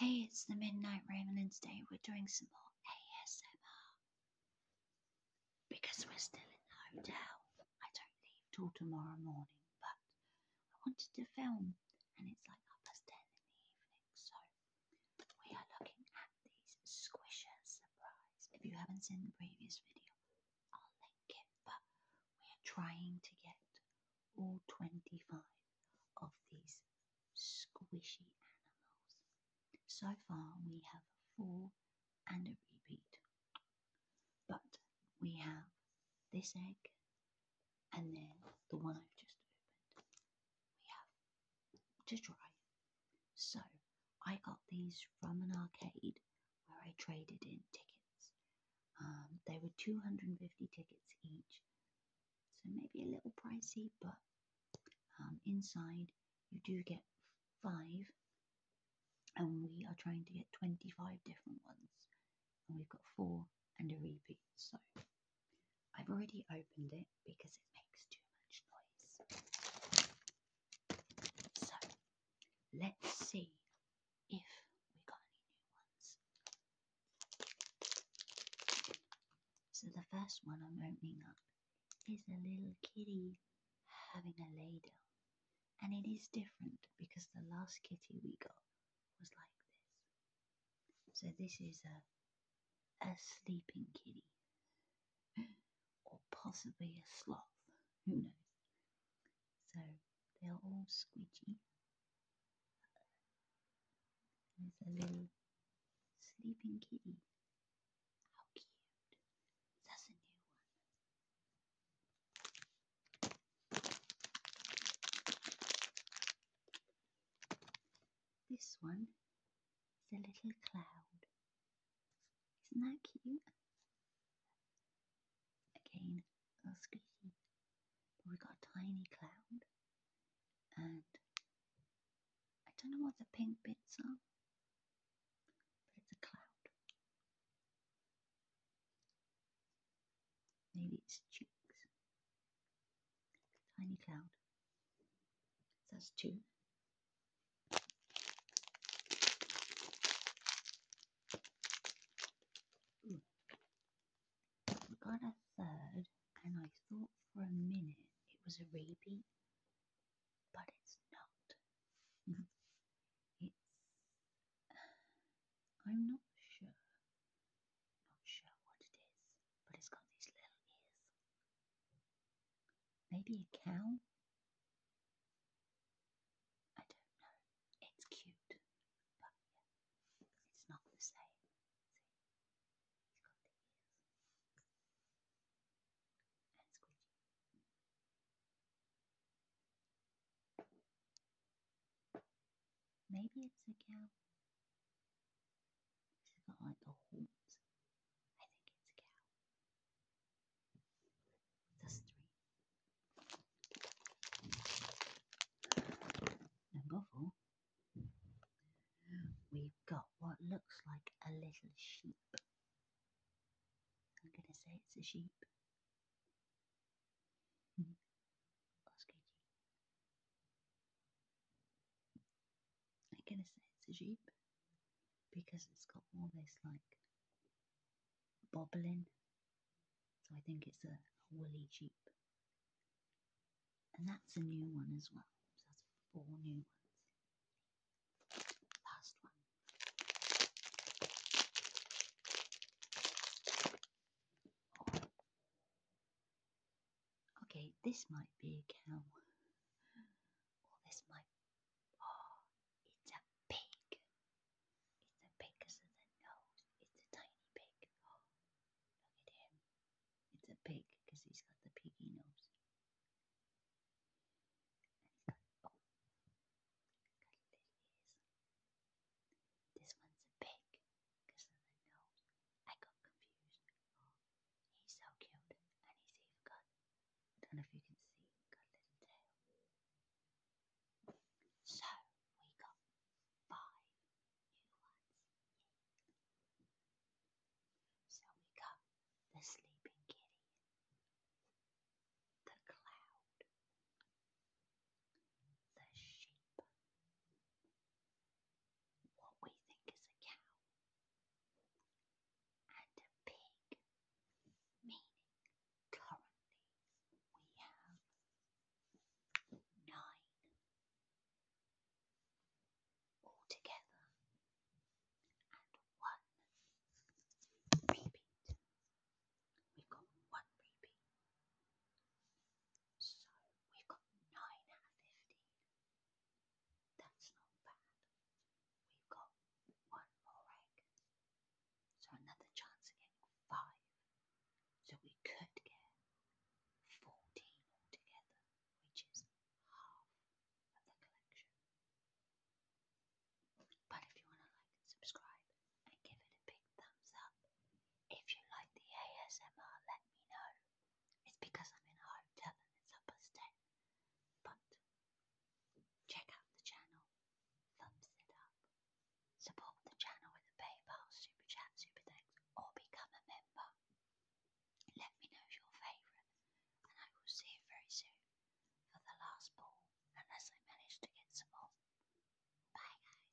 Hey, it's the Midnight Raven, and today we're doing some more ASMR. Because we're still in the hotel, I don't leave till tomorrow morning, but I wanted to film, and it's like half past ten in the evening, so we are looking at these Squisher Surprise. If you haven't seen the previous video, I'll link it, but we're trying to get all 25 of these squishy animals. So far, we have four and a repeat, but we have this egg and then the one I've just opened. We have to try. So, I got these from an arcade where I traded in tickets um, they were 250 tickets each, so maybe a little pricey, but um, inside you do get five, and we are trying to get 25 different ones, and we've got four and a repeat. So I've already opened it because it makes too much noise. So let's see if we got any new ones. So the first one I'm opening up is a little kitty having a lay And it is different because the last kitty we got was like this. So this is a, a sleeping kitty. Or possibly a sloth. Who knows? So they are all squidgy. There's a little sleeping kitty. How cute. That's a new one. This one is a little cloud. Isn't that cute? Again, a little we've got a tiny cloud. And I don't know what the pink bits are, but it's a cloud. Maybe it's cheeks. Tiny cloud. that's two. We got a third, and I thought for a minute it was a repeat, but it's not. it's. I'm not sure. Not sure what it is, but it's got these little ears. Maybe a cow? I don't know. It's cute, but it's not the same. He's got the ears. And squeaky. Maybe it's a cow. She's got like the horns. I think it's a cow the string. Number we we've got what looks like a little sheep. I'm going to say it's a sheep. Hmm. I'm gonna say it's a jeep because it's got all this like bobbling, so I think it's a, woolly jeep. And that's a new one as well. So that's four new ones. Last one. Okay, this might be a cow. What oh, is my paw? Oh, it's a pig. It's a pig because of the nose. It's a tiny pig. look at him. It's a pig because he's got the piggy nose. he's oh, got, little ears. This one's a pig because of the nose. I got confused. Oh, He's so cute, and he's even got, I don't know if you can see, got a little tail. So, we got five new ones. So we got the sleeping kitty, the cloud, the sheep, what we think is a cow and a pig, meaning currently we have nine altogether and one repeat. We've got one repeat. So we've got nine out of fifteen. That's not bad. We've got one more egg. So another chance of five. So we could get 14 altogether, which is half of the collection. But if you want to like subscribe and give it a big thumbs up, if you like the ASMR, let me know. It's because I'm in a hotel and it's upper But check out the channel, thumbs it up, support the channel with a PayPal, super chat, super thanks, or become a member. Let me know your favourite, and I will see you very soon for the last ball, unless I manage to get some more. Bye, guys.